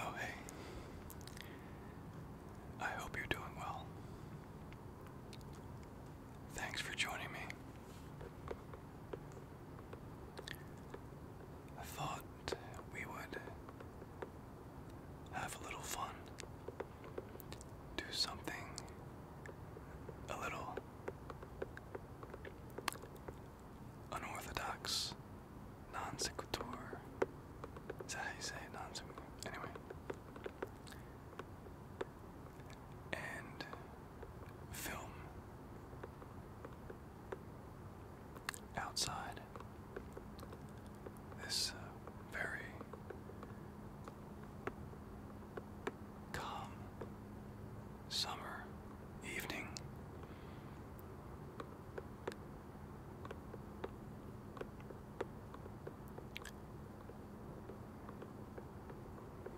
Oh, hey. I hope you're doing well. Thanks for joining me. I thought we would have a little fun, do something a little unorthodox, non sequitur. Is that how you say it? Non sequitur? Anyway. And film outside this uh, very calm summer evening.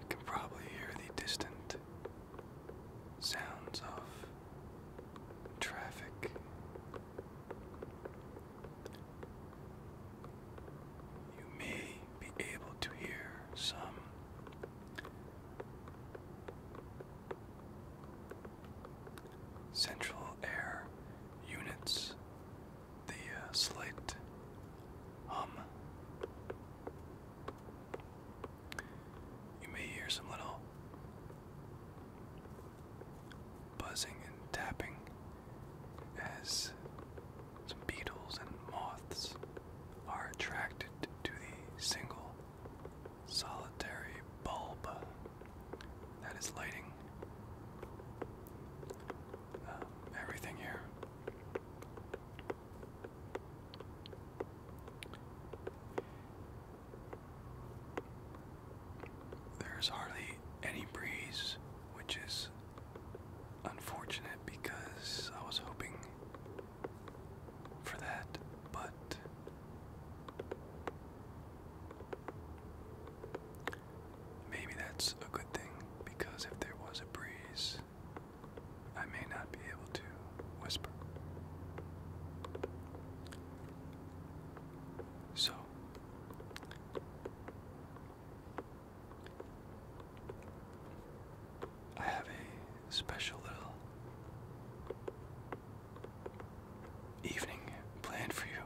You can probably hear the distant sounds of traffic. You may be able to hear some central air units, the uh, slight hum. You may hear some little buzzing and tapping as some beetles and moths are attracted to the single solitary bulb that is lighting um, everything here. There's hardly any breeze, which is unfortunate because I was hoping for that, but maybe that's a good thing because if there was a breeze, I may not be able to whisper. So, I have a special little evening planned for you.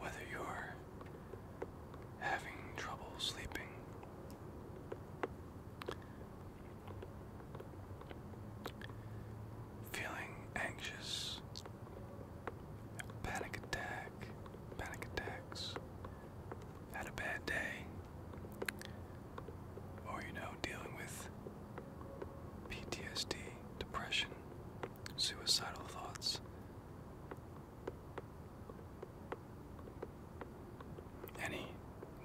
Whether you're having trouble sleeping, Feeling anxious, panic attack, panic attacks, had a bad day, or you know, dealing with PTSD, depression, suicidal thoughts. Any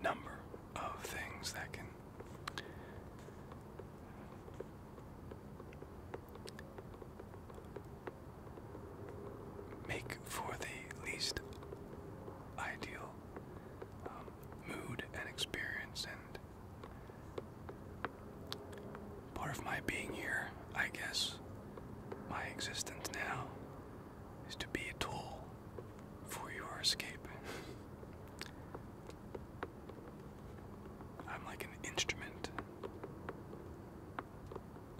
number of things that can make for the least ideal um, mood and experience and part of my being here, I guess, my existence now is to be a tool for your escape. I'm like an instrument.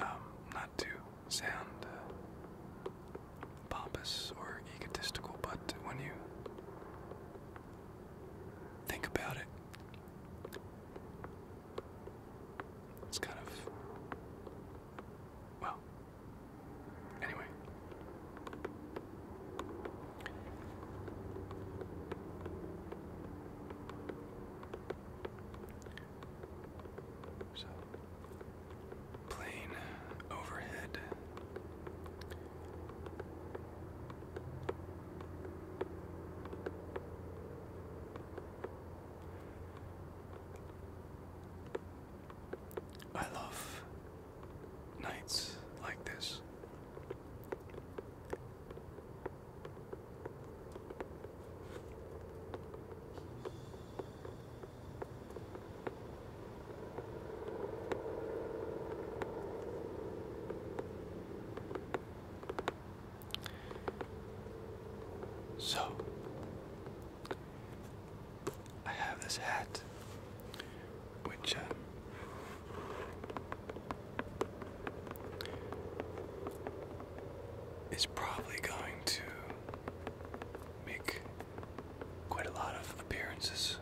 Um, not to sound uh, pompous or egotistical, but when you think about it, it's kind of, well, Anyway. plane overhead. I love nights like this. So, I have this hat, which uh, is probably going to make quite a lot of appearances.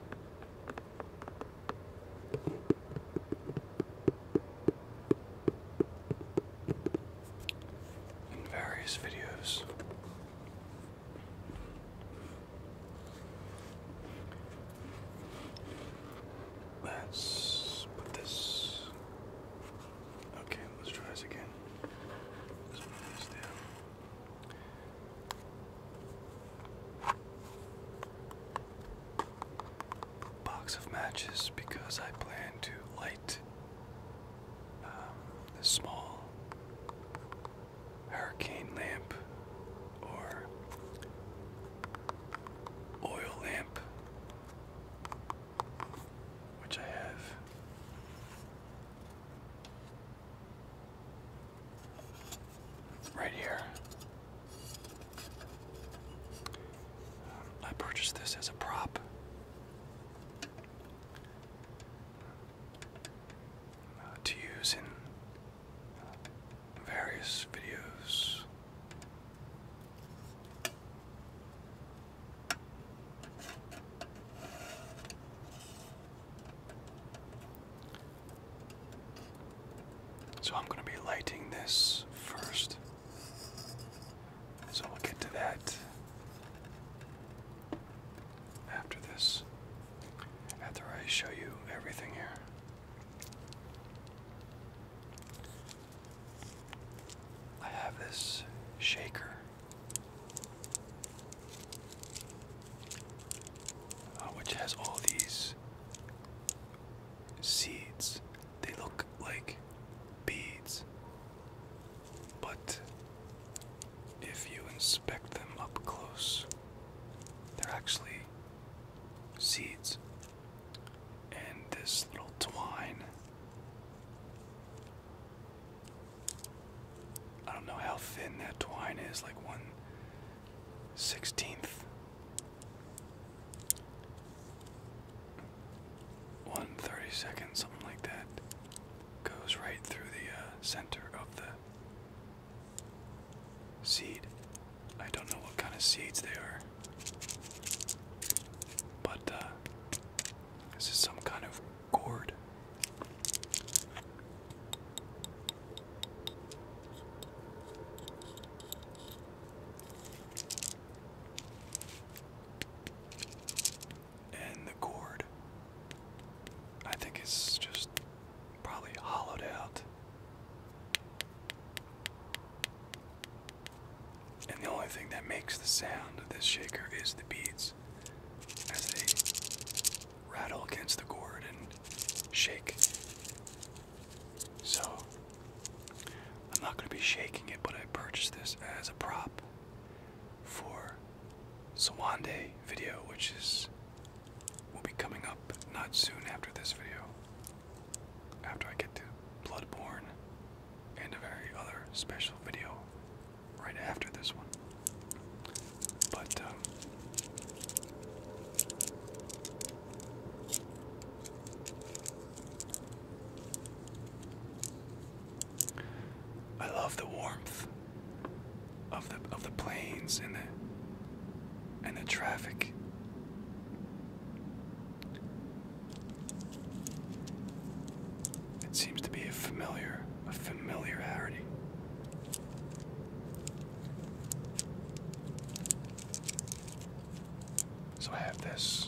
In various videos, Let's put this. Okay, let's try this again. Let's put this down. Box of matches because I plan to light um, this small hurricane lamp or oil lamp, which I have. Right here. Um, I purchased this as a prop. Uh, to use in uh, various videos. So I'm going to be lighting this first. So we'll get to that after this, after I show you everything here. I have this shaker, uh, which has all these seeds. They look like beads, but if you inspect them up close, they're actually seeds. And this little twine. I don't know how thin that twine is, like one sixteenth, one thirty second, something like that goes right through the uh, center of the seed. I don't know what kind of seeds they are, but uh, this is some kind of gourd and the gourd. I think it's just probably hollowed out. And the only thing that makes the sound of this shaker is the beads as they rattle against the gourd and shake. So, I'm not going to be shaking it, but I purchased this as a prop for Sawande video, which is will be coming up not soon after this video. After I get to Bloodborne and a very other special video right after this one. But um, I love the warmth of the of the planes and the and the traffic. It seems to be a familiar a familiarity. So I have this.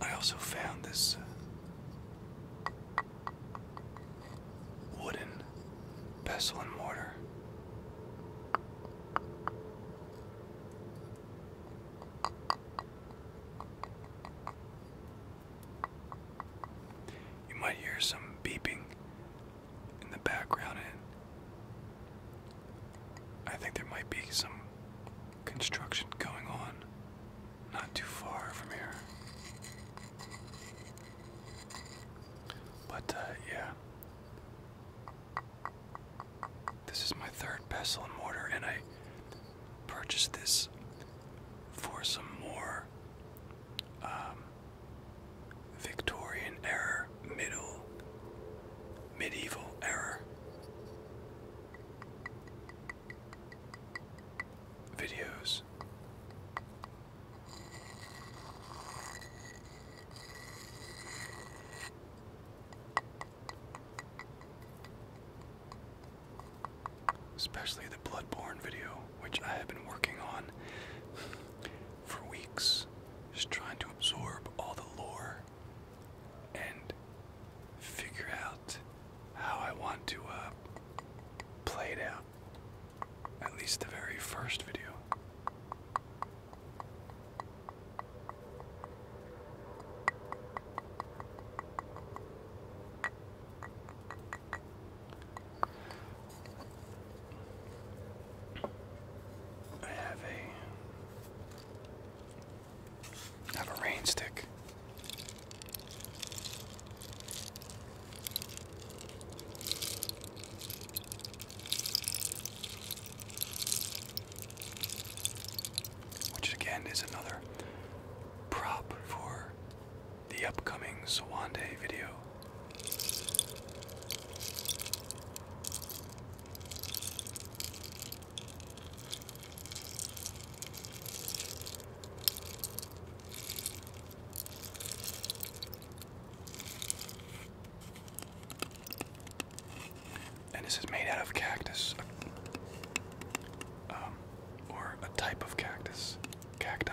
I also found this uh, wooden pestle and mortar. You might hear some beeping in the background, I think there might be some construction going on not too far from here. But, uh, yeah. This is my third pestle and mortar, and I purchased this for some more um, Victorian era middle medieval error Videos. Especially the Bloodborne video, which I have been working on for weeks, just trying to absorb all the lore and figure out how I want to uh, play it out. At least the very first video. I have a I have a rain stick. Which again is another prop for the upcoming Sawande video. And this is made out of cactus, um, or a type of cactus, cacti.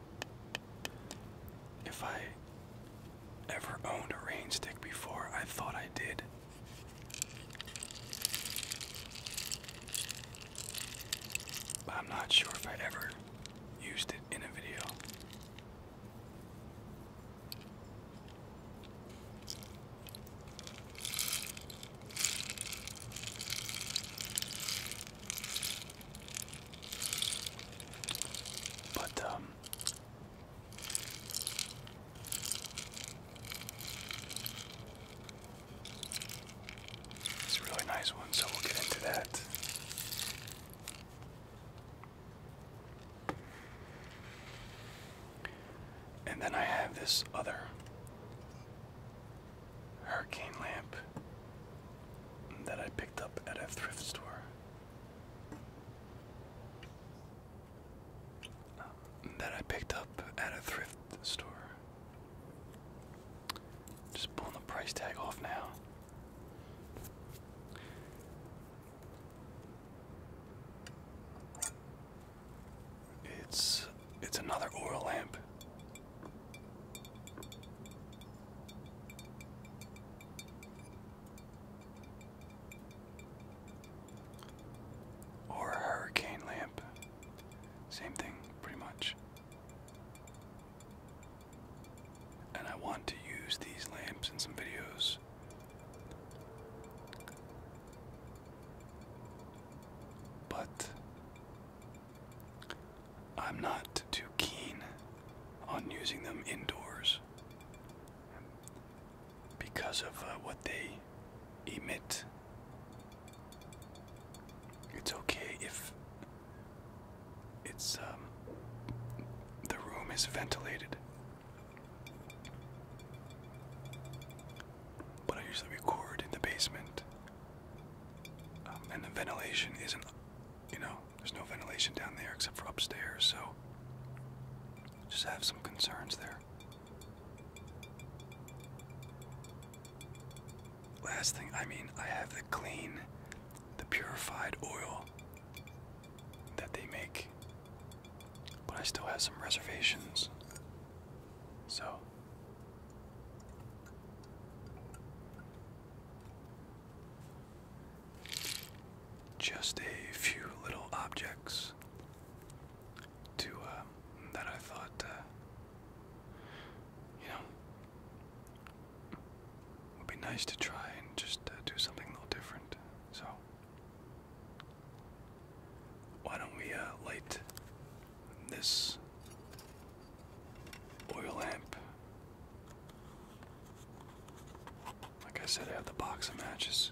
If I ever owned a rainstick before, I thought I did. But I'm not sure if I ever used it in a video. But um, it's a really nice one, so we'll get into that. And then I have this other hurricane lamp that I picked up at a thrift store. Um, that I picked up at a thrift store. Just pulling the price tag off now. It's it's another oil lamp. Or a hurricane lamp. Same thing, pretty much. And I want to use these lamps in some videos. But I'm not too keen on using them indoors because of uh, what they emit. It's okay if it's um, the room is ventilated. But I usually record in the basement um, and the ventilation isn't, you know, there's no ventilation down there except for upstairs, so just have some concerns there. Last thing, I mean, I have the clean, the purified oil that they make, but I still have some reservations. So, just a few little objects to uh, that I thought, uh, you know, would be nice to try and just uh, do something a little different. So, why don't we uh, light this oil lamp. Like I said, I have the box of matches.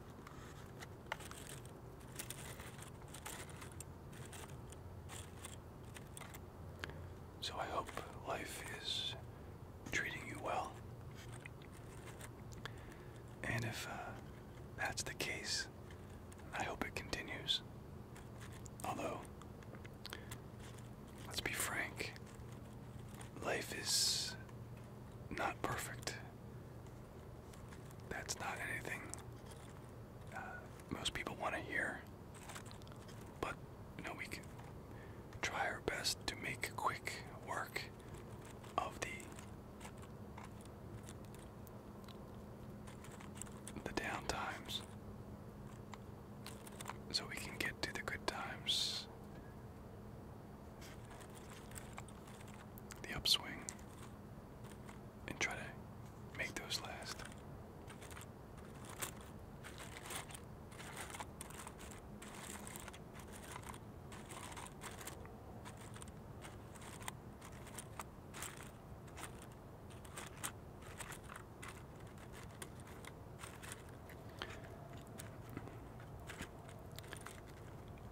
So I hope life is treating you well. And if uh, that's the case, I hope it continues. Although, let's be frank, life is not perfect. That's not anything uh, most people want to hear, but you know we can try our best to make quick work of the the down times, so we can get to the good times, the upswing and try to make those last.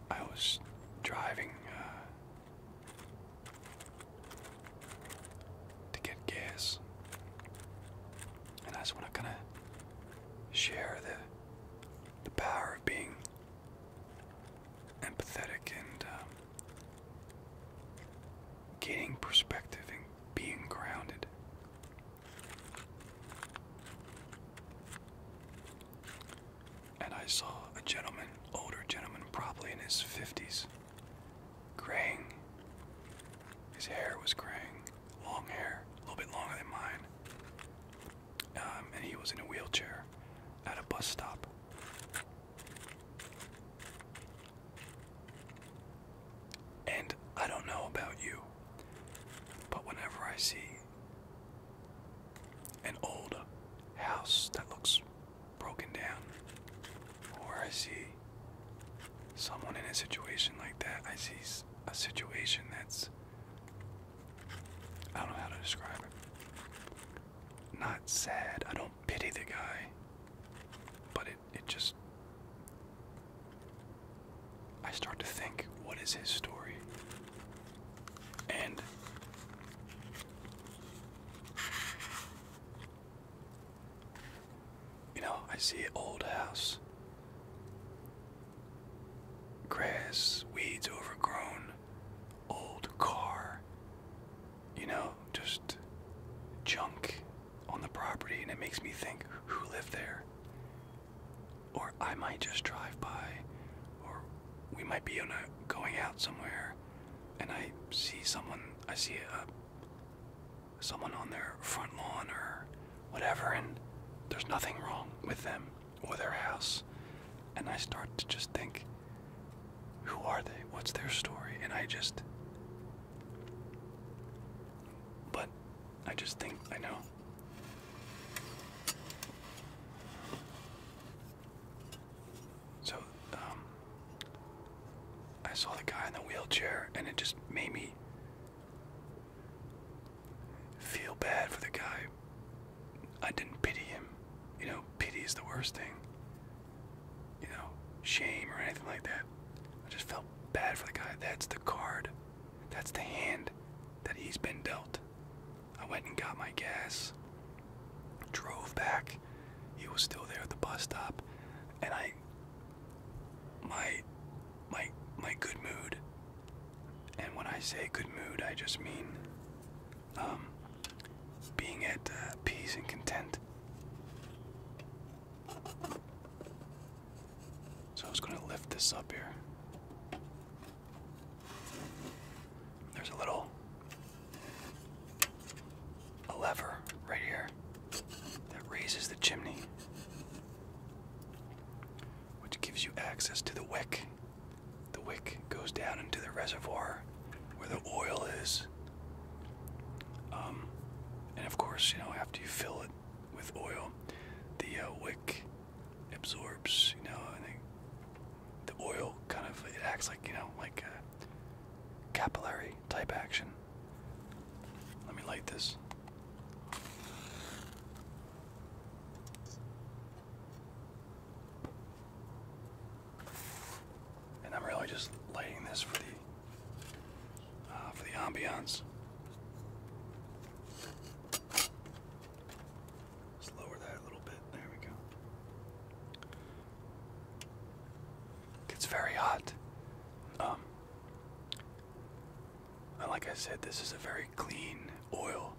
I was driving uh, to get gas. And I just want to kind of share the the power of being empathetic and um, gaining perspective and being grounded and I saw a gentleman, older gentleman, probably in his 50s, graying. His hair was graying, long hair, a little bit longer than mine. Um, and he was in a wheelchair at a bus stop. And I don't know about you, but whenever I see an old house that looks broken down. Or I see someone in a situation like that. I see a situation that's. I don't know how to describe it. Not sad. I don't pity the guy. But it, it just. I start to think, what is his story? And you know, I see old house. Grass, weeds overgrown, old car. You know, just junk on the property, and it makes me think who lived there. Or I might just drive by or we might be on a going out somewhere and I see someone I see a someone on their front lawn or whatever and there's nothing wrong with them or their house and I start to just think who are they what's their story and I just but I just think I know so, um, I saw the guy in the wheelchair, and it just made me feel bad for the guy. I didn't pity him. You know, pity is the worst thing. You know, shame or anything like that. I just felt bad for the guy. That's the card. That's the hand that he's been dealt. I went and got my gas, drove back. He was still there at the bus stop, and I. My, my, my good mood. And when I say good mood, I just mean, um, being at uh, peace and content. So I was gonna lift this up here. There's a little a lever right here that raises the chimney, which gives you access to the wick. The wick goes down into the reservoir where the oil is. Um, and of course, you know, after you fill it with oil, the uh, wick absorbs, you know, and the oil kind of it acts like you know like a capillary type action. Let me light this. And I'm really just lighting this for the uh, for the ambiance let lower that a little bit. There we go. gets very hot. Um, like I said, this is a very clean oil.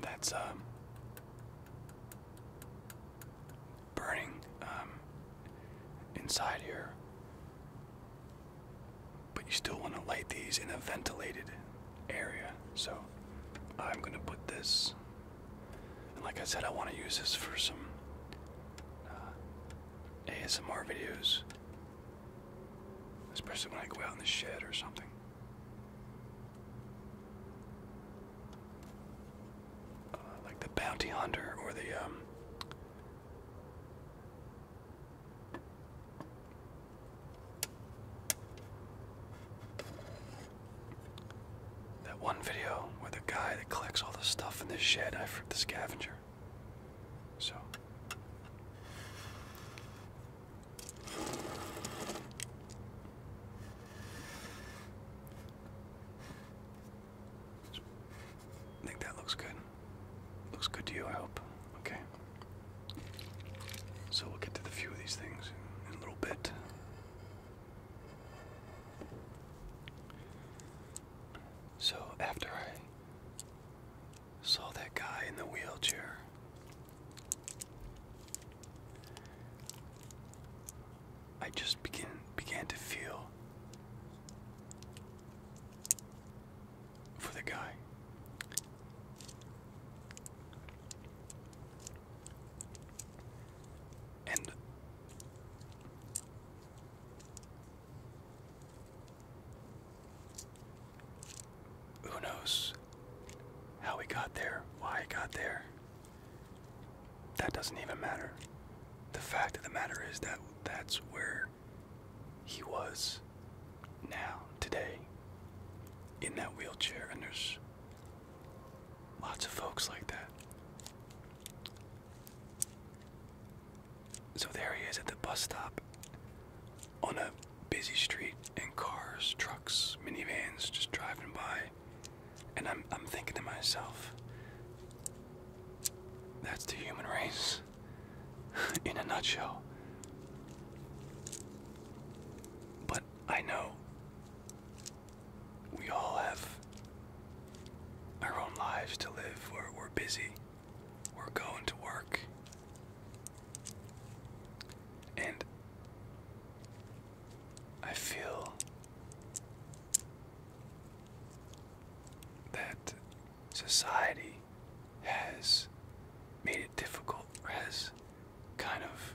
That's um, burning um, inside here but you still want to light these in a ventilated area. So I'm going to put this, and like I said, I want to use this for some uh, ASMR videos, especially when I go out in the shed or something. Uh, like the bounty hunter or the um, that one video where the guy that collects all the stuff in the shed, I freaked the scavenger. So. I think that looks good. Looks good to you, I hope. Okay. So we'll get to the few of these things in, a little bit. So after I saw that guy in the wheelchair, I just begin began to feel for the guy. And who knows how he got there, why he got there. That doesn't even matter. The fact of the matter is that that's where he was now, today, in that wheelchair, and there's lots of folks like that. So there he is at the bus stop on a busy street, and cars, trucks, minivans just driving by. And I'm, I'm thinking to myself, that's the human race. in a nutshell. But I know we all have our own lives to live. We're, busy, we're going to work. And I feel that society has made it difficult, or has kind of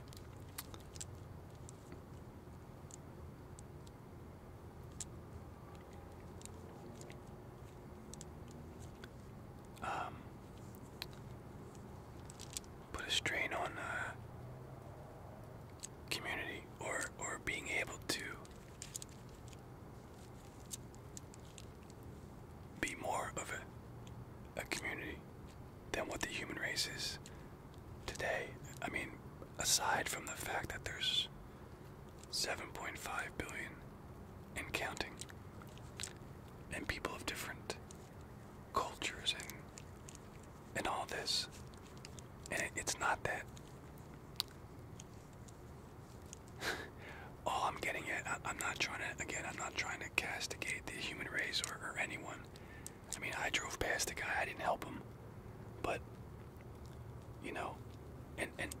um, put a strain on uh, community or or being able to be more of a, a community than what the human race is today. I mean, aside from the fact that there's 7.5 billion and counting, and people of different cultures and and all this, and it's not that all I'm getting at, I'm not trying to, again, I'm not trying to castigate the human race or, or anyone. I mean, I drove past the guy, I didn't help him. But, you know, and, and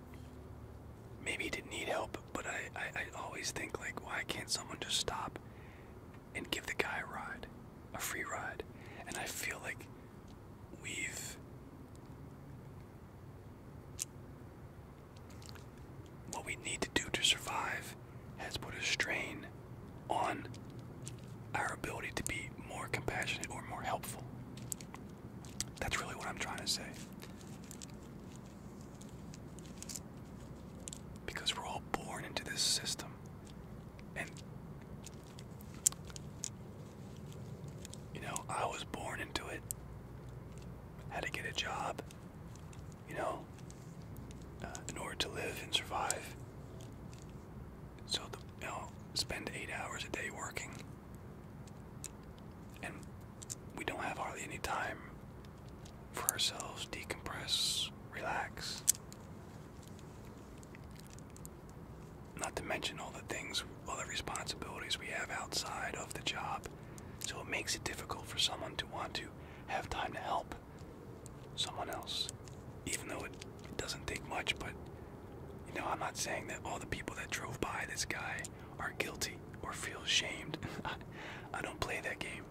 maybe he didn't need help, but I, I, I always think, like, why can't someone just stop and give the guy a ride, a free ride? And I feel like we've what we need to do to survive has put a strain on our ability to be more compassionate or more helpful. That's really what I'm trying to say. Because we're all born into this system. And, you know, I was born into it. Had to get a job, you know, uh, in order to live and survive. So, the, you know, spend eight hours a day working, and we don't have hardly any time for ourselves, decompress, relax. Not to mention all the things, all the responsibilities we have outside of the job. So it makes it difficult for someone to want to have time to help someone else. Even though it, doesn't take much, but you know, I'm not saying that all the people that drove by this guy are guilty or feel shamed. I don't play that game.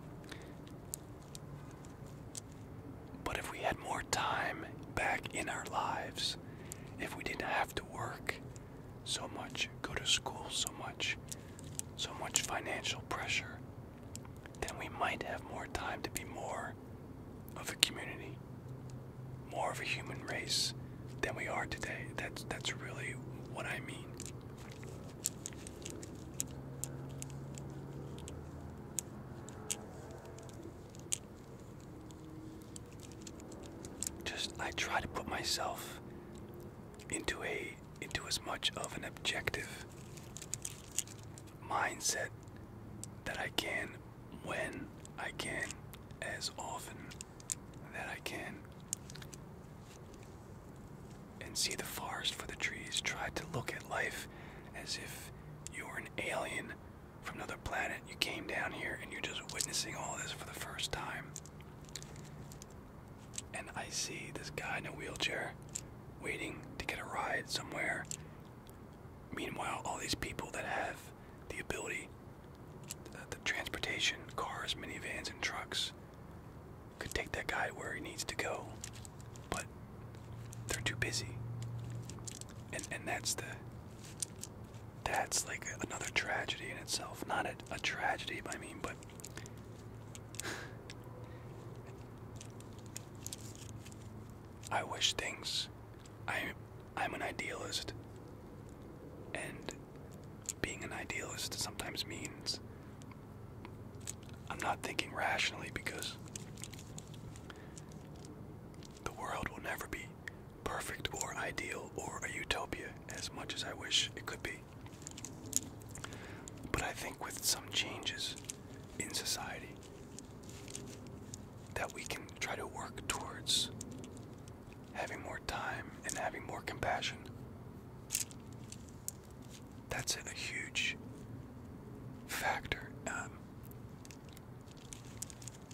But if we had more time back in our lives, if we didn't have to work, so much, go to school so much, so much financial pressure, then we might have more time to be more of a community, more of a human race than we are today. That's, that's really what I mean. Just, I try to put myself into a into as much of an objective mindset that I can when I can as often that I can and see the forest for the trees try to look at life as if you were an alien from another planet you came down here and you're just witnessing all this for the first time and I see this guy in a wheelchair waiting to get a ride somewhere. Meanwhile, all these people that have the ability, the, the transportation, cars, minivans, and trucks, could take that guy where he needs to go, but they're too busy. And and that's the that's like another tragedy in itself. Not a, a tragedy, I mean, but I wish things. I, I'm an idealist. And being an idealist sometimes means I'm not thinking rationally because the world will never be perfect or ideal or a utopia as much as I wish it could be. But I think with some changes in society, that we can try to work towards having more time and having more compassion. That's a huge factor um,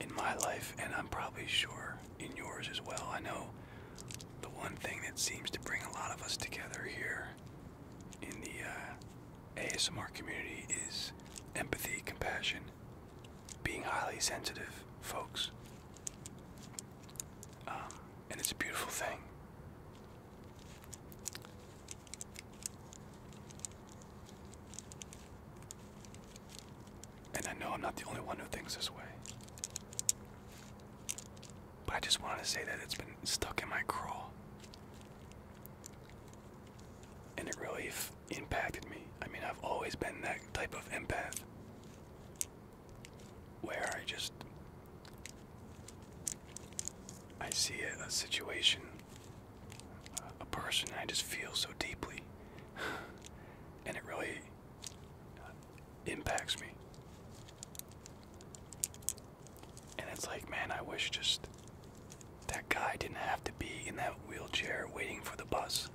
in my life, and I'm probably sure in yours as well. I know the one thing that seems to bring a lot of us together here in the uh, ASMR community is empathy, compassion, being highly sensitive, folks. Um, and it's a beautiful thing. And I know I'm not the only one who thinks this way. But I just wanted to say that it's been stuck in my craw. And it really impacted me. I mean, I've always been that type of empath where I just. I see a, situation, a, person, I just feel so deeply. and it really impacts me. And it's like, man, I wish just that guy didn't have to be in that wheelchair waiting for the bus.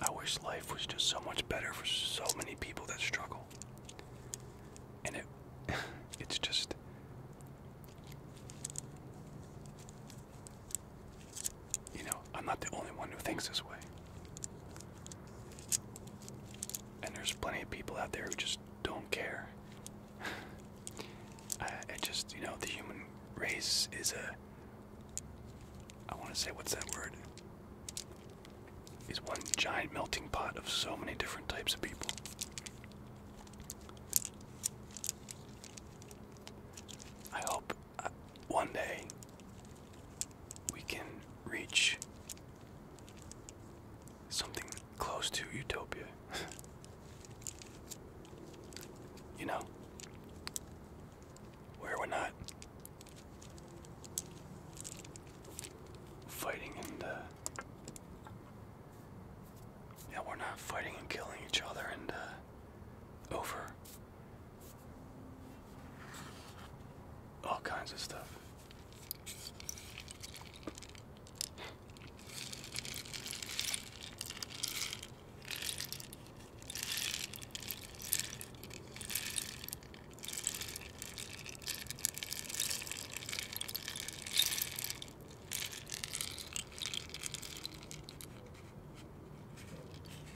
I wish life was just so much better for so many people that struggle. And it it's just you know, I'm not the only one who thinks this way. And there's plenty of people out there who just don't care. I, just, you know, the human race is a. I want to say, what's that word? Is one giant melting pot of so many different types of people. I hope one day we can reach something close to utopia. you know, where we're not fighting and, yeah, we're not fighting and killing each other and, uh, over all kinds of stuff.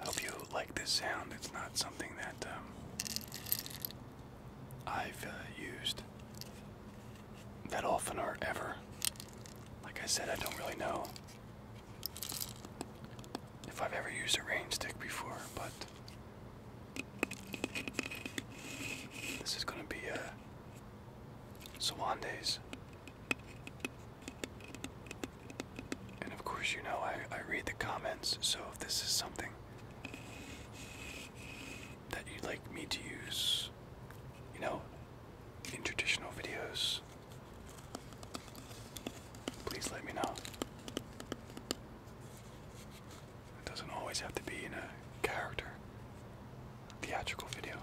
I hope you like this sound. It's not something that um, I've uh, used that often are ever. Like I said, I don't really know if I've ever used a rain stick before, but this is going to be a uh, Sawanday's. And of course, you know, I, I read the comments, so if this is something that you'd like me to use, you know, in traditional videos, please let me know. It doesn't always have to be in a character theatrical video.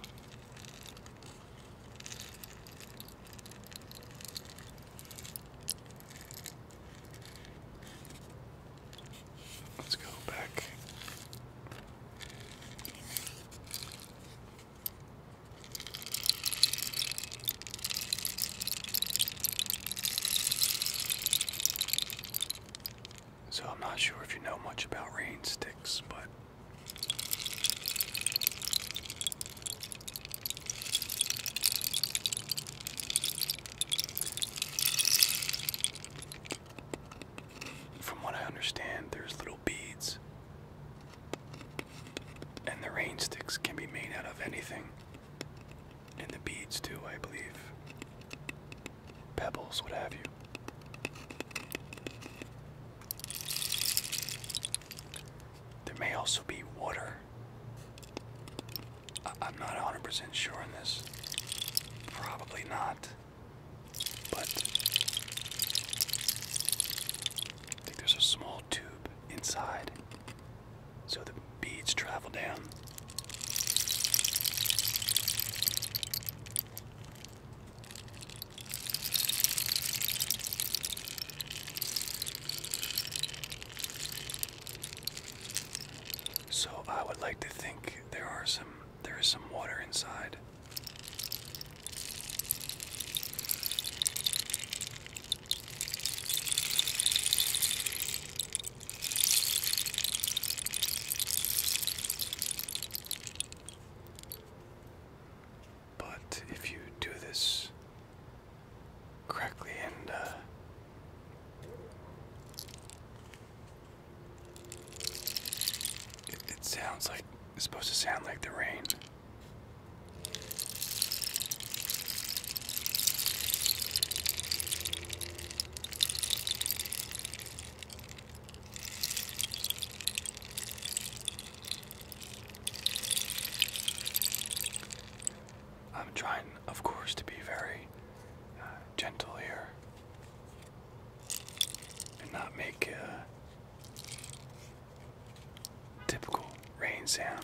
So I'm not sure if you know much about rain sticks, but from what I understand, there's little beads. And the rainsticks can be made out of anything. And the beads, too, I believe. Pebbles, what have you. There may also be water I am not 100% sure on this. Probably not. But I think there's a small tube inside. So the beads travel down. So I would like to think there are some there is some water inside. But if you do this correctly and uh, it, sounds like it's supposed to sound like the rain. I'm trying, of course, to be very uh, gentle here and not make a typical rain sound.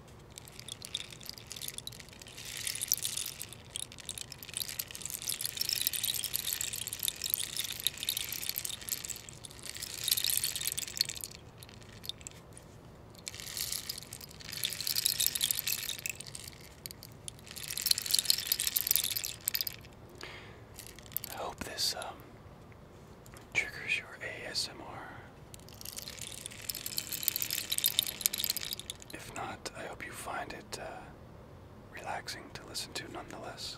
I hope this um, triggers your ASMR. If not, I hope you find it uh, relaxing to listen to nonetheless.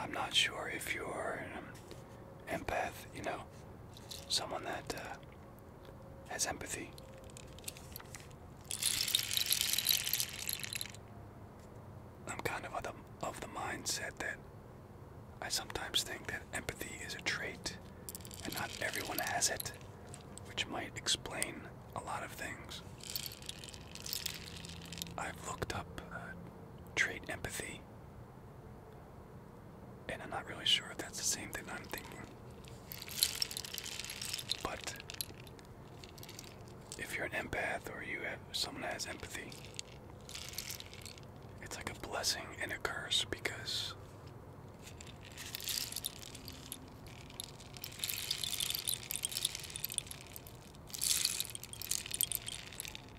I'm not sure if you're an empath, you know, someone that uh, has empathy. I'm kind of of the mindset that I sometimes think that empathy is a trait and not everyone has it which might explain a lot of things. I've looked up uh, trait empathy, and I'm not really sure if that's the same thing I'm thinking. But if you're an empath or you have someone that has empathy, it's like a blessing and a curse because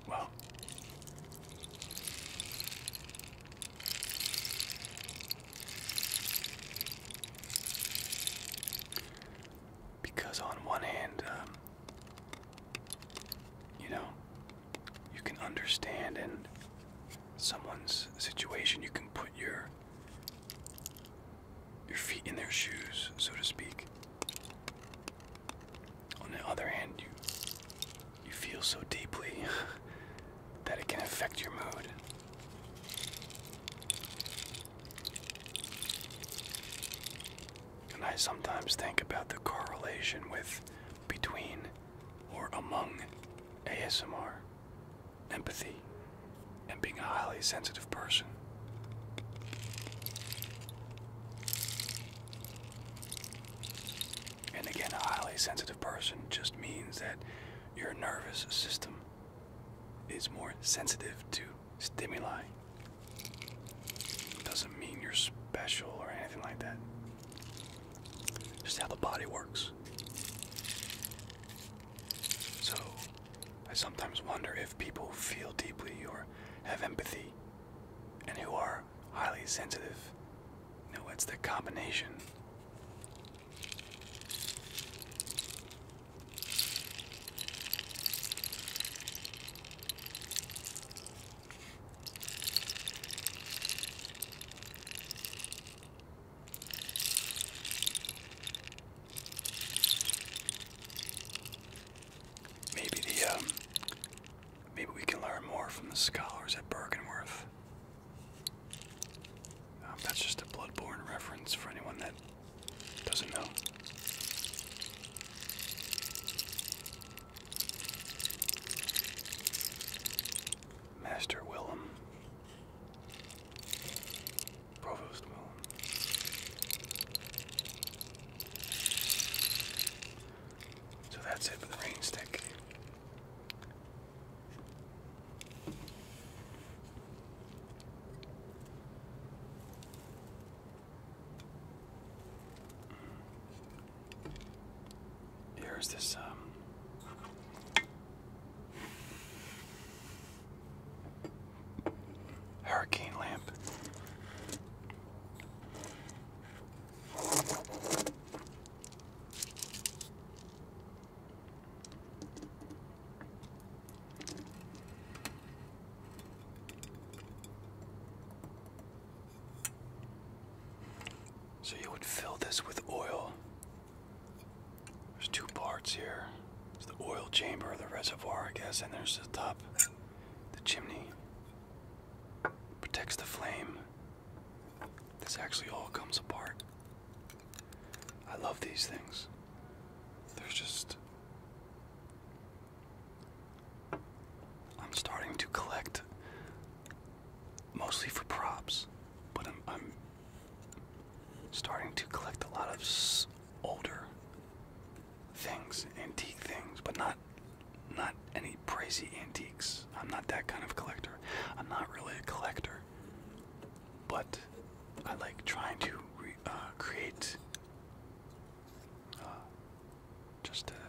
well. Because on one hand, um, you know, you can understand in someone's situation, you can put your your feet in their shoes, so to speak. On the other hand, you you feel so deeply that it can affect your mood. And I sometimes think about the correlation with between or among ASMR empathy, and being a highly sensitive person. And again, a highly sensitive person just means that your nervous system is more sensitive to stimuli. Doesn't mean you're special or anything like that. Just how the body works. So, I sometimes wonder if people feel deeply or have empathy and who are highly sensitive. You know, it's the combination. Maybe the um, maybe we can learn more from the scholars at Bergenworth. Um, that's just a bloodborne reference for anyone that doesn't know. Master Willem. Provost So that's it for the rain Here's this, um, Hurricane lamp. So you would fill this with oil there's two parts here. It's the oil chamber, the reservoir, I guess, and there's the top, the chimney. Protects the flame. This actually all comes apart. I love these things. There's just. I'm starting to collect mostly for props, but I'm, I'm starting to collect a lot of older things, antique things, but not not any crazy antiques. I'm not that kind of collector. I'm not really a collector, but I like trying to uh, create uh, just a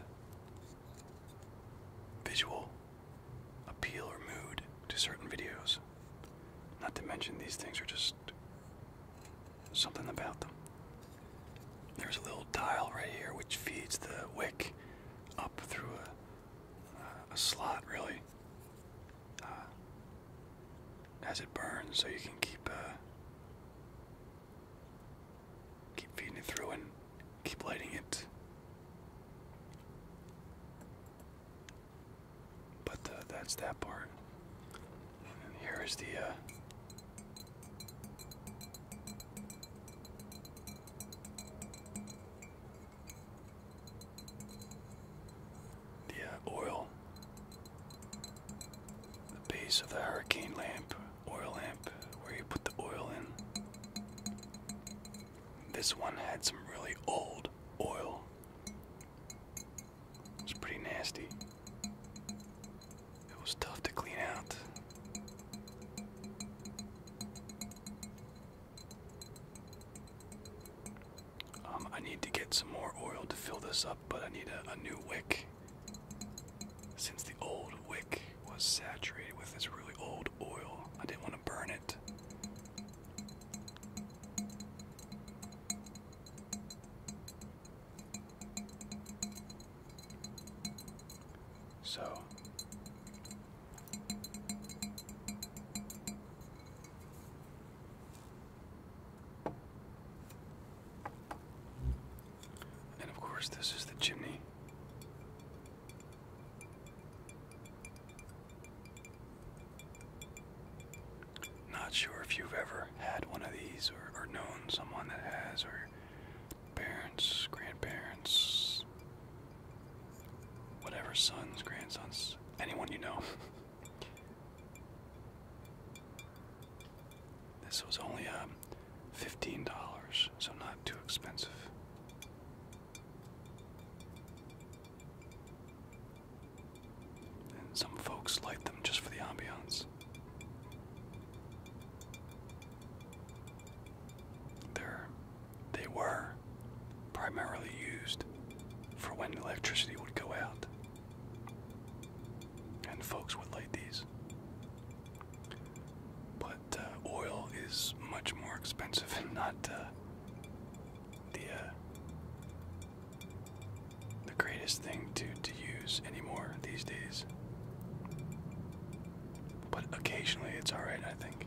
visual appeal or mood to certain videos. Not to mention, these things are just something about them. There's a little dial right here which feeds the wick up through a, slot, really, uh, as it burns, so you can keep uh, keep feeding it through and keep lighting it. But uh, that's that part. And here is the. Uh, the uh, oil, the base of the hurricane lamp, oil lamp, where you put the oil in. This one had some really old oil it was pretty nasty. It was tough to clean out. Um, I need to get some more oil to fill this up, but I need a new wick. Since the old wick was saturated with this really old oil, I didn't want to burn it. So and of course, this is the chimney. Not sure if you've ever had one of these or, known someone that has, or parents, grandparents, whatever, sons, grandsons, anyone you know. this was only um, $15, so not too expensive. And some folks light them just for the ambiance. They're, they were primarily used for when electricity would go out. And folks would light these. But uh, oil is much more expensive and not uh, the uh, the greatest thing to to use anymore these days. But occasionally it's all right, I think.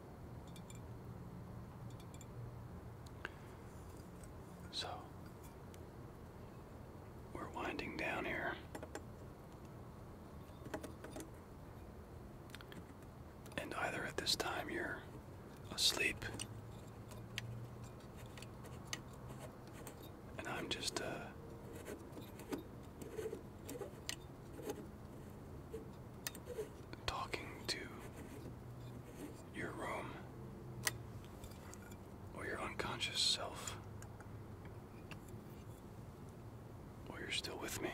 So we're winding down here. And either at this time you're asleep, and I'm just, uh, talking to your room or your unconscious self. Or you're still with me.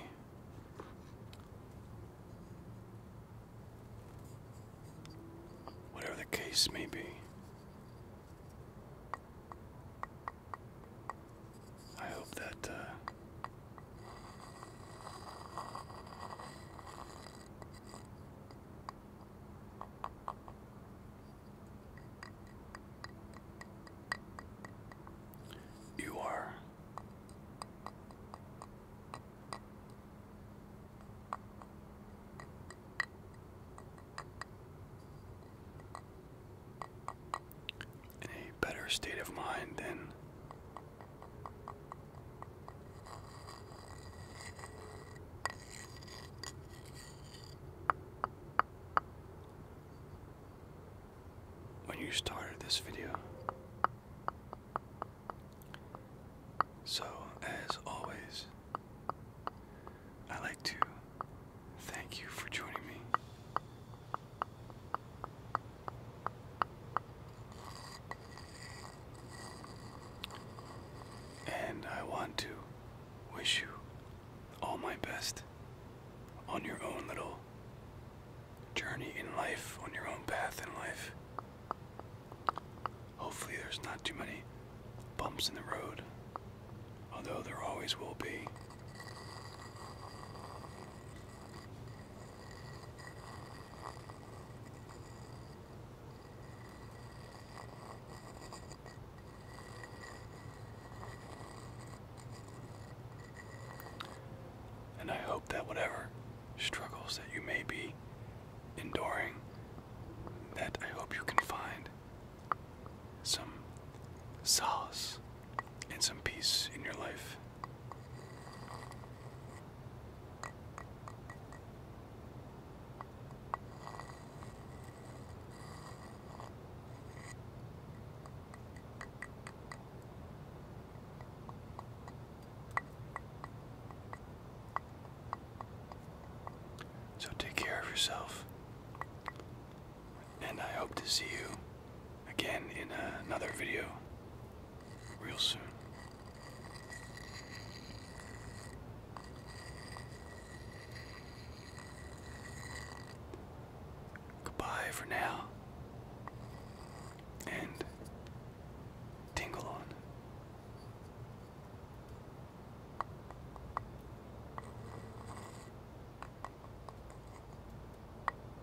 Whatever the case may be, I hope that uh, you are in a better state of mind than when you started this video. So, as always, I like to thank you for joining me. And I want to wish you all my best on your own little journey in life, on your own path in life. Hopefully, there's not too many bumps in the road, although there always will be. And I hope that whatever struggles that you may be enduring, that I hope you can find some solace and some peace in your life. So take care of yourself, and I hope to see you again in another video. Real soon. Goodbye for now. And tingle on.